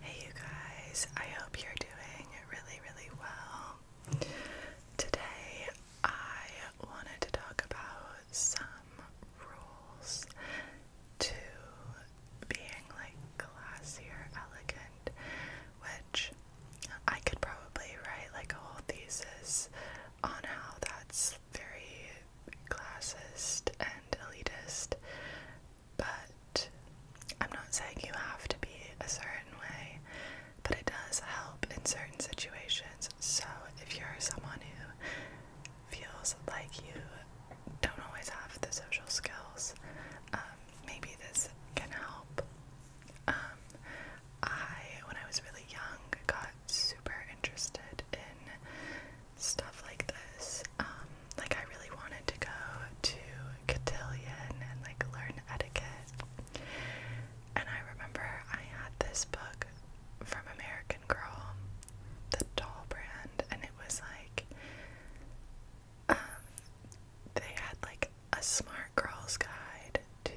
Hey you guys, I hope you're doing really, really well. Today I wanted to talk about some rules to being like classier, elegant, which I could probably write like a whole thesis on how that's very classist and elitist but I'm not saying you have to be a certain way, but it does help in certain situations. So if you're someone who feels like you don't always have the social skills, um, maybe this can help. Um, I, when I was really young, got super interested in stuff like this. Um, like I really wanted to go to Cotillion and like learn etiquette. And I remember I had this book from American Girl, the doll brand, and it was like um, they had like a smart girl's guide to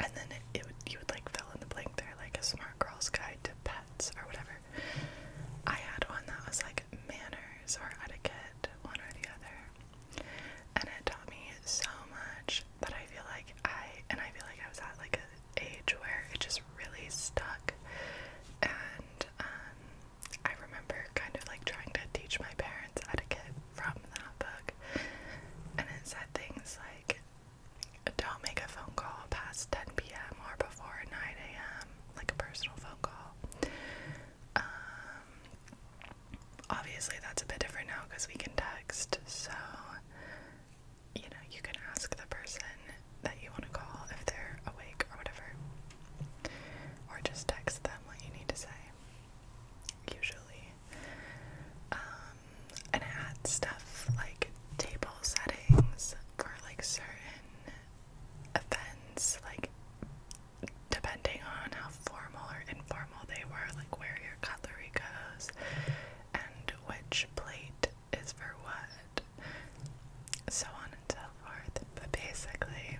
and then it, it would you would like fill in the blank there like a smart girl's guide to pet hats or whatever. I had one that was like manners or etiquette, one or the other. And it taught me so much that I feel like I and I feel like I was at like an age where it just really stuck. And um I remember kind of like trying to teach my parents etiquette from that book. And it said things like don't make a phone call past 10 p.m. or before 9 a.m., like a personal phone call. Um, obviously, that's a bit different now because we can text, so you know, you can ask the person that you want to call if they're awake or whatever, or just text them what you need to say. Usually, um, and I had stuff like table control settings for like certain events, like depending on how formal or informal they were, like where your cutlery goes and which plate is for what, so on and so forth. But basically,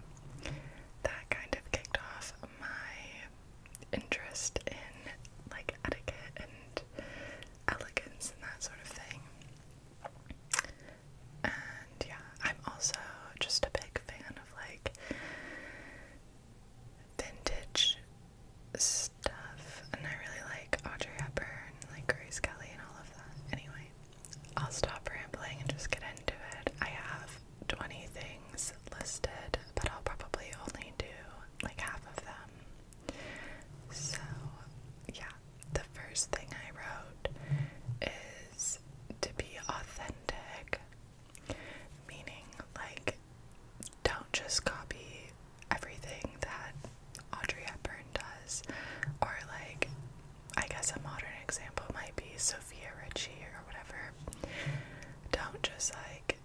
that kind of kicked off my interest in like etiquette and elegance and that sort of thing. And yeah, I'm also just a big fan of like vintage stuff, and I really like Audrey Hepburn, and like Grace Kelly, and all of that. Anyway, I'll stop rambling and just get into it. I have 20 things listed, but I'll probably only do like half of them so, yeah, the first thing I wrote is to be authentic, meaning, like, don't just copy everything that Audrey Hepburn does, or, like, I guess a modern example might be Sophia Richie or whatever. Don't just, like,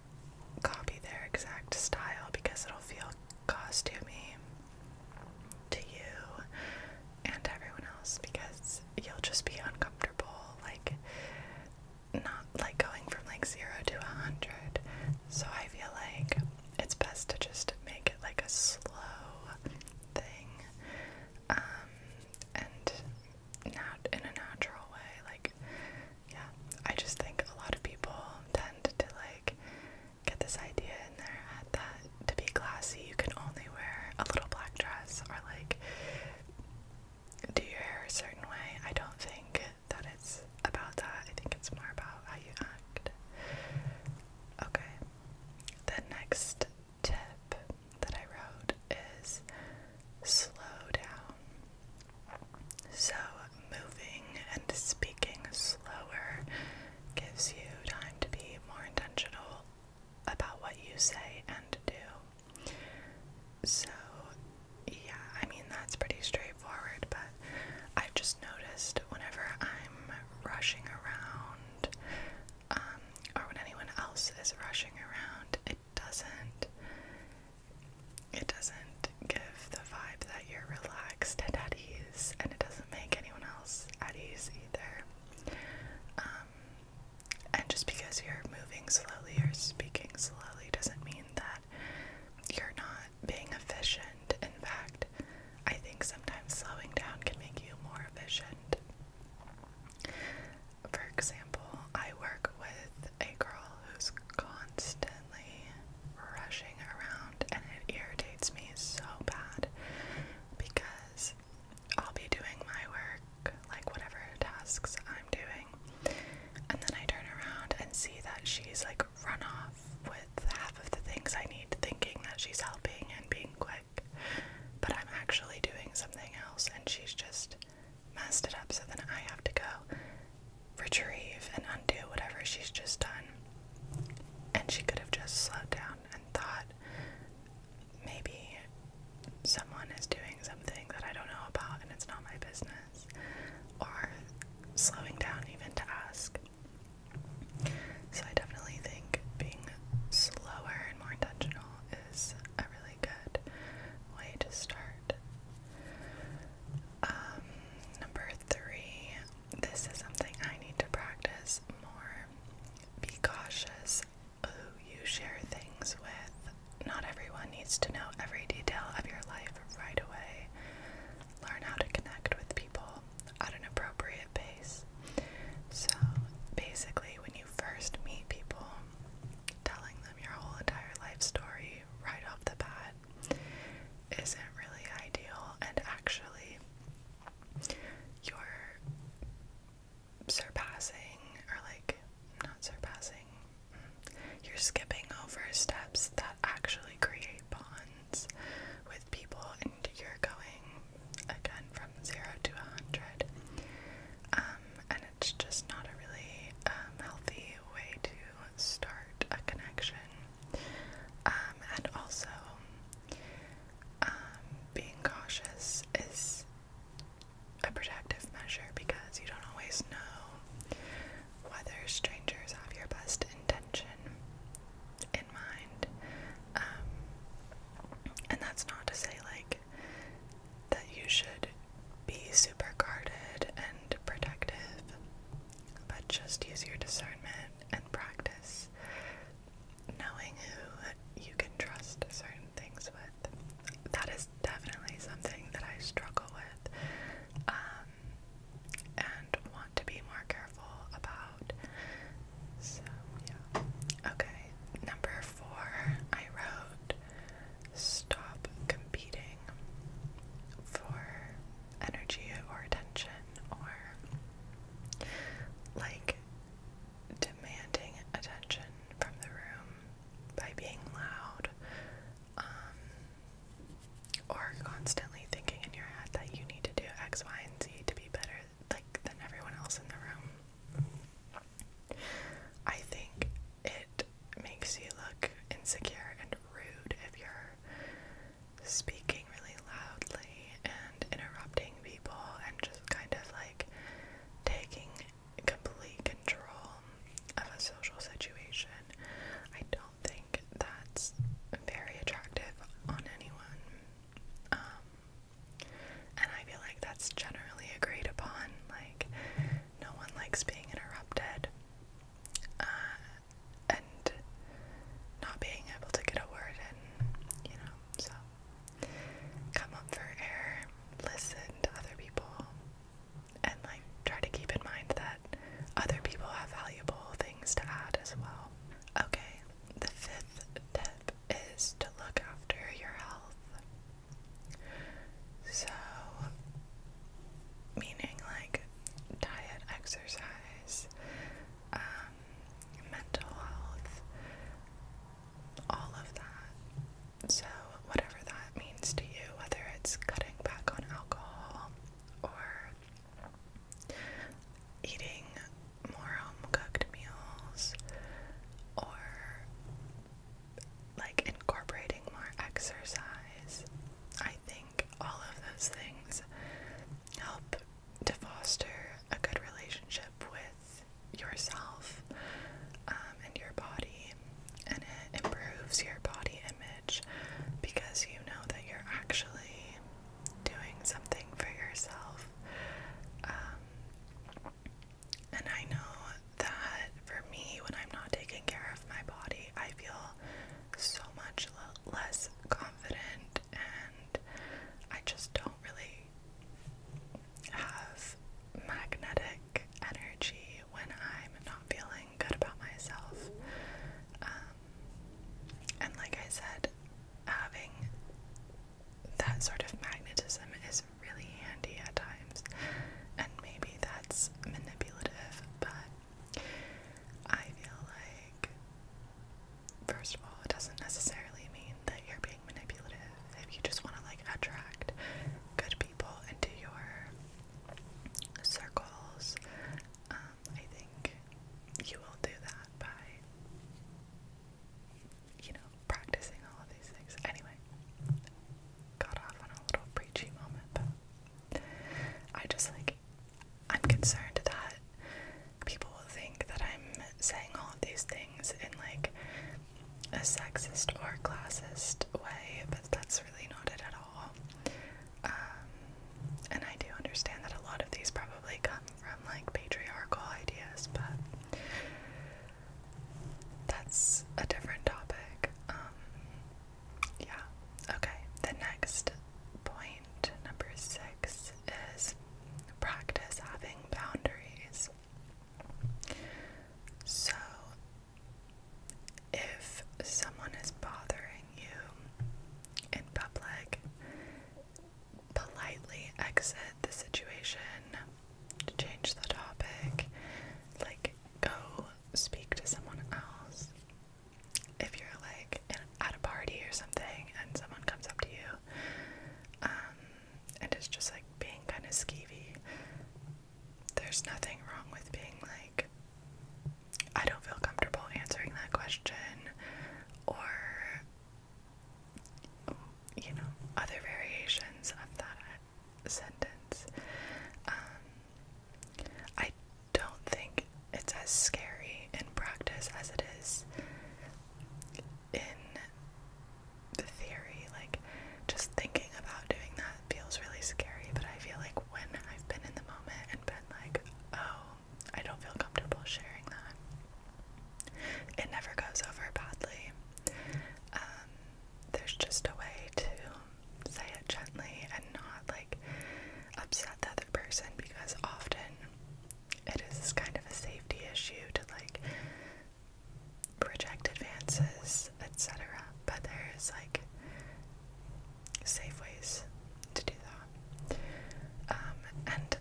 copy their exact style because it'll feel cause to me, to you, and everyone else because you'll just be uncomfortable, like not like going from like zero to a hundred. So I feel like it's best to just make it like a slow thing, um, and not in a natural way, like yeah, I just think a lot of people tend to like get this idea in their head that to be classy, you can only wear a little black dress or like do your hair a certain way. I don't think that it's about that. I think it's more about how you act. Okay, the next tip that I wrote is slow down. So, moving and speaking slower gives you time to be more intentional about what you say and do. So, yeah, I mean, that's pretty straightforward, but I've just noticed whenever I'm rushing around, um, or when anyone else is rushing around, it doesn't it doesn't give the vibe that you're relaxed and at ease, and it doesn't make anyone else at ease either. Um, and just because you're moving slowly or speaking slowly doesn't mean that you're not being efficient. In fact, I think sometimes slowing down can make you more efficient. For example, I work with a girl who's constantly rushing around, and it irritates me so bad because I'll be doing my work, like whatever tasks I'm doing, and then I turn around and see that she's like run off with half of the things I need, thinking that she's helping and being quick, but I'm actually doing something else, and she's just messed it up, so then I have to go retrieve and undo whatever she's just done. And she could have just slowed down and thought, maybe someone is doing something that I don't know about and it's not my business. Or slowing down even to ask. So I definitely think being slower and more intentional is a really good way to start. Um, number three, this is something I need to practice more. Be cautious who you share things with. Not everyone needs to know every detail of your life right away. Learn how to connect with people at an appropriate pace. So, basically, when you first meet people, telling them your whole entire life story right off the bat isn't really ideal, and actually, you're surpassing, or like, not surpassing, you're skipping over steps that actually create bonds with people, and you're going again from zero to a hundred. Um, and it's just not a really um, healthy way to start a connection. Um, and also, um, being cautious is a protective measure because you don't always know whether strangers have your best intention in mind. Um, and that's not to say, like, that you should be super guarded and protective, but just use your discernment and practice knowing who you can trust certain things with. That is definitely something that I struggle with um, and want to be more careful about. So, yeah. Okay, number four, I wrote stop competing for energy or attention or like demanding attention from the room by being loud um, or constantly thinking in your head that you need to do X, Y, and Z to be better like than everyone else in the room. I think it makes you look insecure and rude if you're speaking really loudly and interrupting people and just kind of like taking complete control of a social situation. I don't think that's very attractive on anyone. Um, and I feel like that's generally agreed upon. Like, no one likes being interrupted. Uh, and not being able to get a word in, you know, so come up for air, listen to other people, and try to keep in mind that other people have valuable things to add as well. Okay, the fifth tip is to look after your health. So, meaning like diet, exercise, um, mental health, all of that. So, whatever that means to you, whether it's cutting back on alcohol or eating more home cooked meals or like incorporating more exercise. I think all of those things help to foster a good relationship with yourself um, and your body, and it improves your body image because you know that you're actually doing something for yourself. Um, and I know that for me, when I'm not taking care of my body, I feel so much less confident, and I just don't really have magnetic energy when I'm not feeling good about myself. Um, and like I said, having that sort of magnetism is really handy at times, and maybe that's manipulative, but I feel like, first of all, it doesn't necessarily mean that you're being manipulative if you just want to like attract good people into your circles. Um, I think you will do that by, you know, practicing all of these things. Anyway, got off on a little preachy moment, but I just like, I'm concerned that people will think that I'm saying all of these things in like a sexist or classist way, but that's really not it at all. Um, and I do understand that a lot of these probably come from like patriarchal ideas, but that's a different topic. Um, yeah. Okay. The next point, number six, is practice having boundaries. So, if someone is bothering you in public, politely exit the situation to change the topic, like go speak to someone else. If you're like in, at a party or something and someone comes up to you, um, and it's just like being kind of skeevy, there's nothing wrong with being like, I don't feel comfortable answering that question, or you know, other variations of that sentence. Um, I don't think it's as scary in practice as it is in the theory. Like, just thinking about doing that feels really scary, but I feel like when I've been in the moment and been like, oh, I don't feel comfortable sharing that, it never goes over badly. Um, there's just a way to say it gently and not like upset the other person because often it is kind of a safety issue to like project advances, etc. But there is like safe ways to do that. Um, and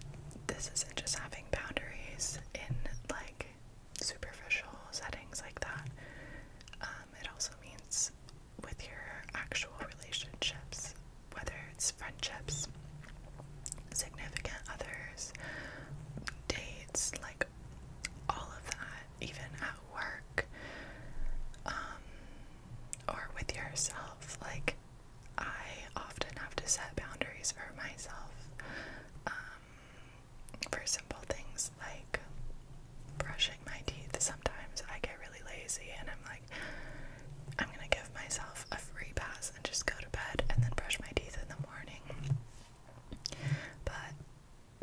this isn't just having boundaries in like superficial settings like that. Um, it also means with your actual relationships, whether it's friendships, significant others, dates, like all of that, even at work, um, or with yourself. Like, I often have to set boundaries for myself. Um, for simple things like brushing my teeth. Sometimes I get really lazy and I'm like, I'm gonna give myself a free pass and just go to bed and then brush my teeth in the morning. But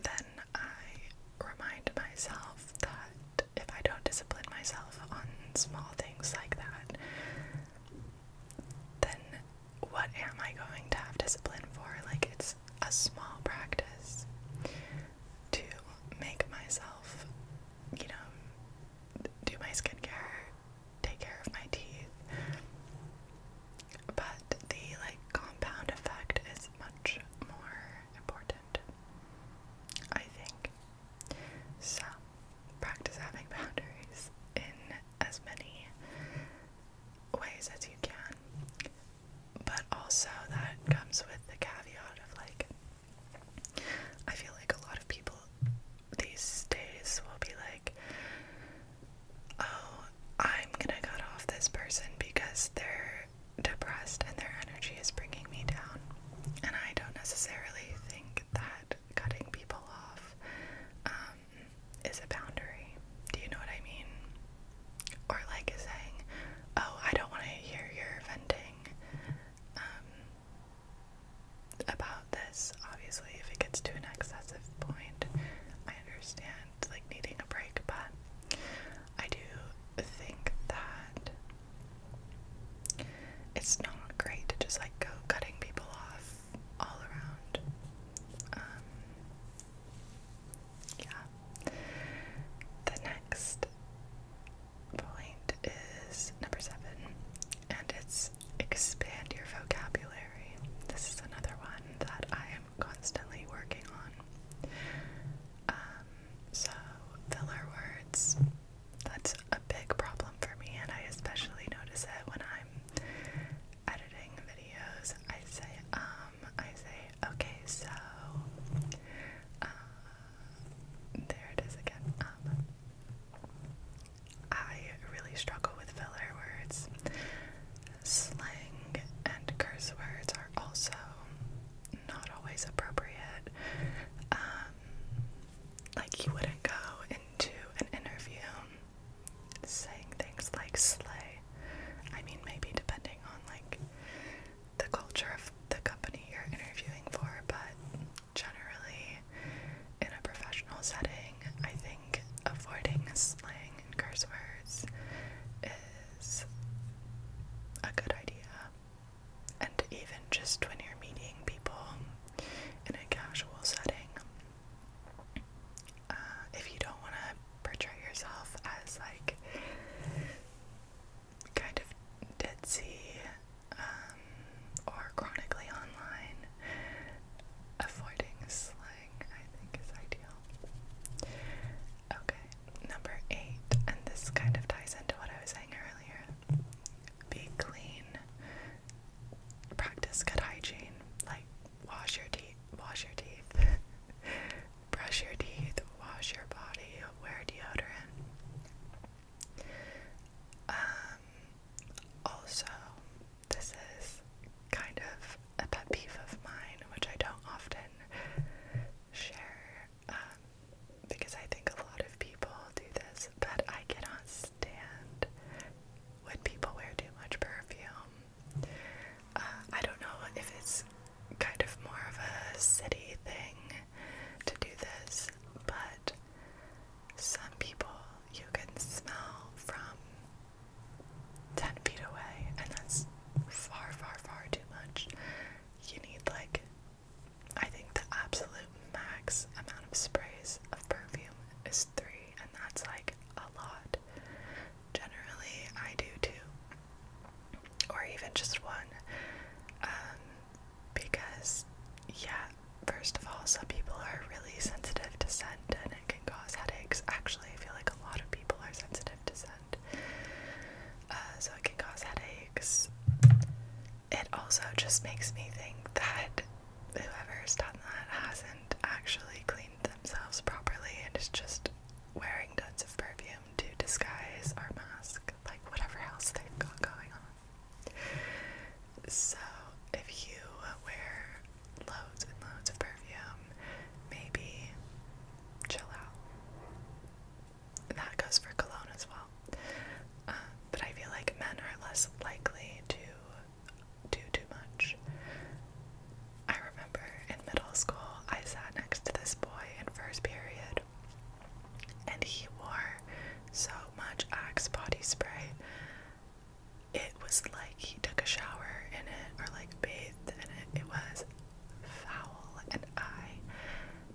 then I remind myself that if I don't discipline myself on small things like that, then what am I going to have discipline for? Like, it's a small practice to make myself, you know, do my skincare, take care of my teeth. But the like compound effect is much more important, I think. So, practice having boundaries in as many ways as you can. But also, that comes with the caveat of like, I feel like a lot of people these days will be like, oh, I'm gonna cut off this person because they're depressed and their energy is bringing me down. And I don't necessarily think that cutting people off um, is a boundary. Do you know what I mean? Or like is saying, "Oh, I don't want to hear your venting um, about this." Obviously, if it gets to an excessive point, I understand like needing a break, but I do think that it's not great to just like go cutting people off all around. Um, yeah. The next point is number seven, and it's expand your vocabulary. This is another one that I am constantly working on. Um, so, filler words. That's a big problem for me, and I especially notice it when I'm editing videos, I say, um, I say, okay, so, uh, there it is again, um, I really struggle with filler words. Slang and curse words are also not always appropriate. Um, like, you wouldn't go into an interview saying things like slay. I mean, maybe depending on like the culture of the company you're interviewing for, but generally, in a professional setting, I think avoiding slang and curse words is a good idea. And even just when you're meeting people in a casual setting, uh, if you don't want to portray yourself as like kind of ditzy um, or chronically online, avoiding slang I think is ideal. Okay, number eight, and this kind of ties into what I was saying earlier be clean practice good hygiene, like wash your teeth, wash your teeth, brush your teeth, wash your body, wear deodorant. Um, also, this is kind of a pet peeve of mine, which I don't often share um, because I think a lot of people do this, but I cannot stand when people wear too much perfume. Uh, I don't know if it's kind of more of a city thing to do this, but some people you can smell from 10 feet away, and that's far, far, far too much. You need, like, I think the absolute max amount of sprays of perfume is three, and that's like a lot. Generally, I do two, or even just one, um, because, yeah, first of all, some people are really sensitive to scent and it can cause headaches. Actually, I feel like a lot of people are sensitive to scent, uh, so it can cause headaches. It also just makes me think that whoever's done that hasn't actually cleaned themselves properly and is just wearing tons of perfume to disguise or mask like whatever else they've got going on. So if you wear loads and loads of perfume, maybe chill out. That goes for cologne as well. Um, but I feel like men are less likely to do too much. I remember in middle school, I sat next to this boy in first period, and he wore so much Axe body spray. It was like he took a shower in it or like bathed in it. It was foul, and I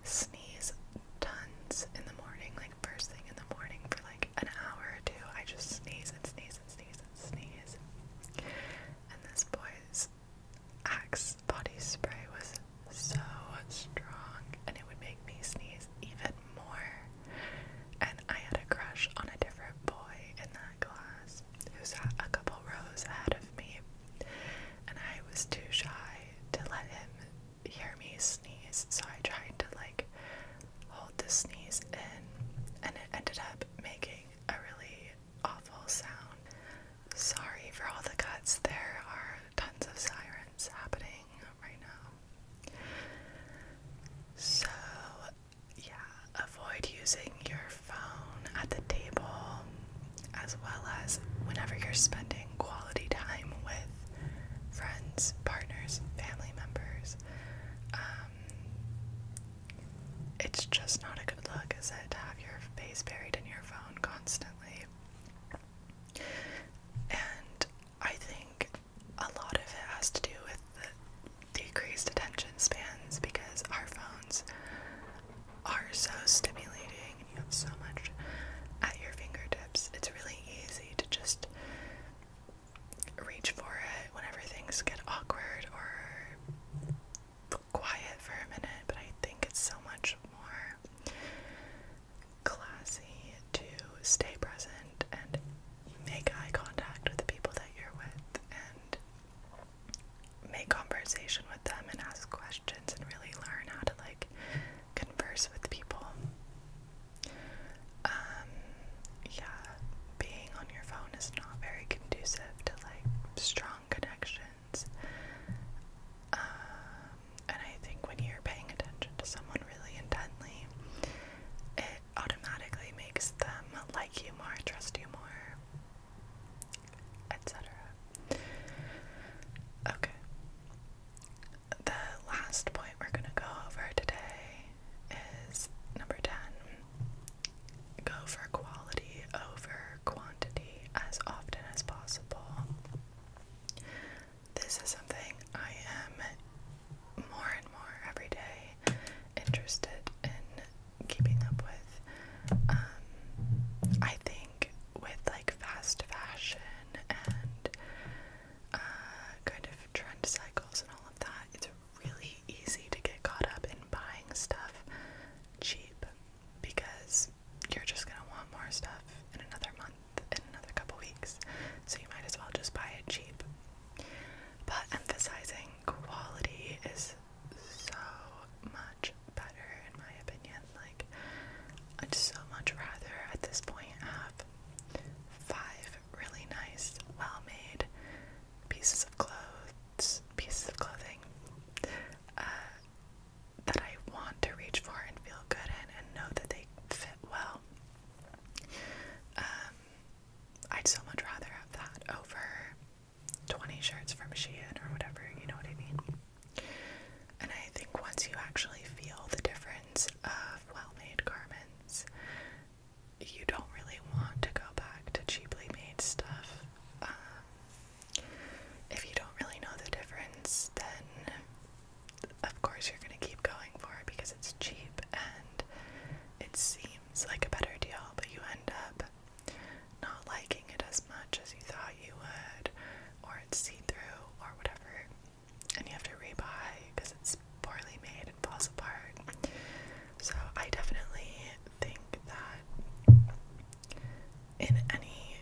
sneeze tons in the morning, like first thing in the morning for like an hour or two. I just sneeze and sneeze and sneeze and sneeze. And this boy's Axe body spray was so strong and it would make me sneeze even more. And I had a crush on a different boy in that class who sat a couple rows ahead of me. And I was too shy to let him hear me sneeze, so I tried to like hold the sneeze in, and it ended up making a really awful sound. Sorry for all the cuts, there are tons of sirens happening right now. So, yeah, avoid using your phone at the table as well as whenever you're spending quality time with friends, partners, family members. Um, it's just not a good look, is it, to have your face buried in your phone constantly? And I think a lot of it has to do with the decreased attention spans because our phones are so stimulating and you have so much at your fingertips. It's really easy easy to just reach for it whenever things get awkward or quiet for a minute, but I think it's so much more classy to stay present and make eye contact with the people that you're with and make conversation with them and ask questions and really learn how to like converse with people. Um, yeah, being on your phone is not very conducive to like strong connections. Um, and I think when you're paying attention to someone really intently, it automatically makes them like you more, trust you more, etc. Okay the last point we're going to go over today is number 10. Go for quality over quantity as often as possible. This is something I am more and more every day interested in keeping up with. Um, I think with like fast fashion and uh, kind of trend cycles and all of that, it's really easy to get caught up in buying stuff cheap because you're just going to want more stuff in another month, in another couple weeks. So you might as well just buy it cheap. But emphasizing quality is so much better, in my opinion. Like, I'd so much rather at this point have five really nice, well made pieces of clothes, pieces of clothing uh, that I want to reach for and feel good in and know that they fit well. Um, I'd so much rather have that over 20 shirts from Shein or whatever, you know what I mean? And I think once you actually feel the difference of well made garments, you don't really want to go back to cheaply made stuff. Um, if you don't really know the difference, then of course you're going to keep going for it because it's cheap and it seems like a better deal, but you end up not liking it as much as you thought you would, or it's see-through or whatever and you have to rebuy because it's poorly made and falls apart so i definitely think that in any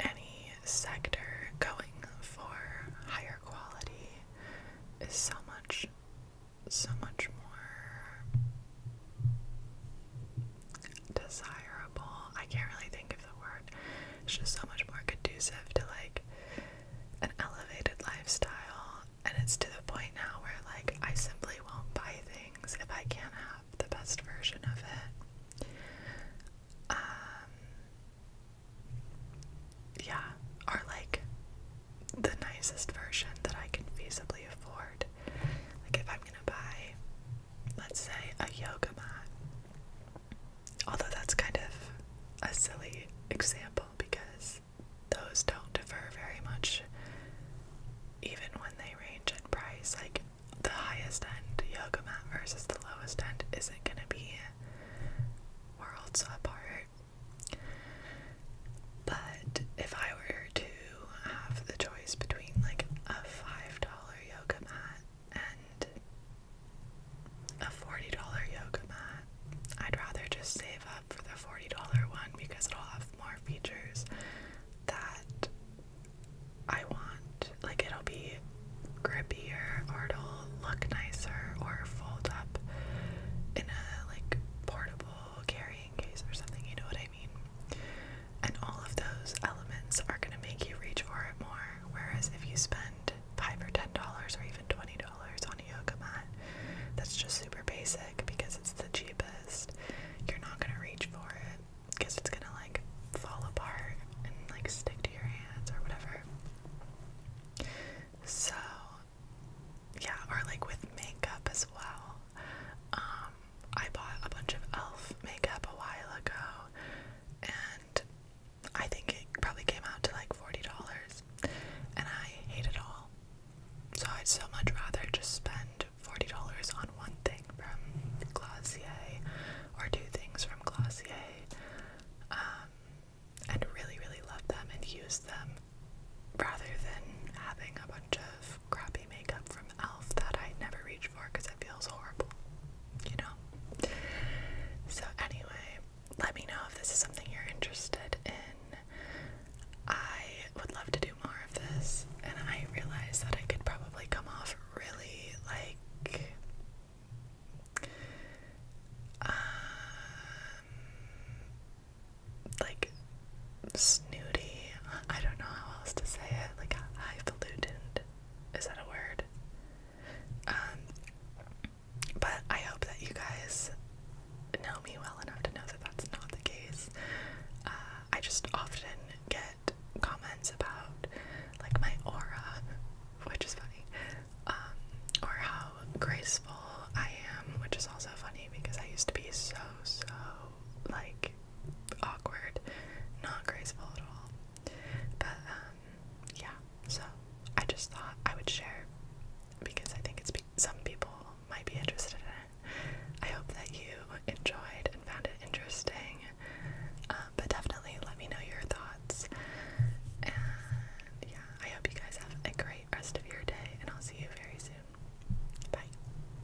any sector going for higher quality is so much so much more desirable. I can't really think of the word. It's just so much more conducive to like an elevated lifestyle. And it's to the point now where like I simply won't buy things if I can't have the best version of it. Um yeah, or like the nicest version that I can feasibly afford. Like if I'm gonna buy let's say, a yoga mat. Although that's kind of a silly example because those don't differ very much even when they range in price. Like the highest end yoga mat versus the lowest end isn't going to be worlds apart. But if I were to have the choice between like a five dollar yoga mat and a forty dollar yoga mat. I'd rather just save up for the forty dollar one because it'll have more features that I want. Like it'll be grippier or it'll look nicer or fold up in a like portable carrying case or something, you know what I mean? And all of those elements are going to make you reach for it more. Whereas if you spend five or ten dollars or even twenty dollars on a yoga mat, that's just super basic because it's the cheapest. You're not going to reach for it because it's going to like fall apart and like stick to your hands or whatever. So, yeah, or like with makeup as well. Um, um, I bought a bunch of e.l.f. makeup a while ago, and I think it probably came out to like $40, and I hate it all. So I'd so much rather just spend $40 on one thing from Glossier or two things from Glossier um, and really, really love them and use them rather than having a bunch of crappy makeup from e.l.f. that I never reach for because it feels horrible, you know? So, anyway, let me know if this is something you're interested in. I would love to do more of this, and I realize that I could probably come off really like. Um, like snooty. I don't know how else to say it. Like highfalutin. Is that a word? Um, but I hope that you guys know me well enough to know that that's not the case. Uh, I just often get comments about like my aura, which is funny, um, or how graceful I am, which is also funny because I used to be so so like awkward, not graceful at all. But um, yeah, so I just thought I would share because I think it's some people might be interested in it. I hope that you enjoyed and found it interesting. Uh, but definitely let me know your thoughts. And yeah, I hope you guys have a great rest of your day, and I'll see you very soon. Bye.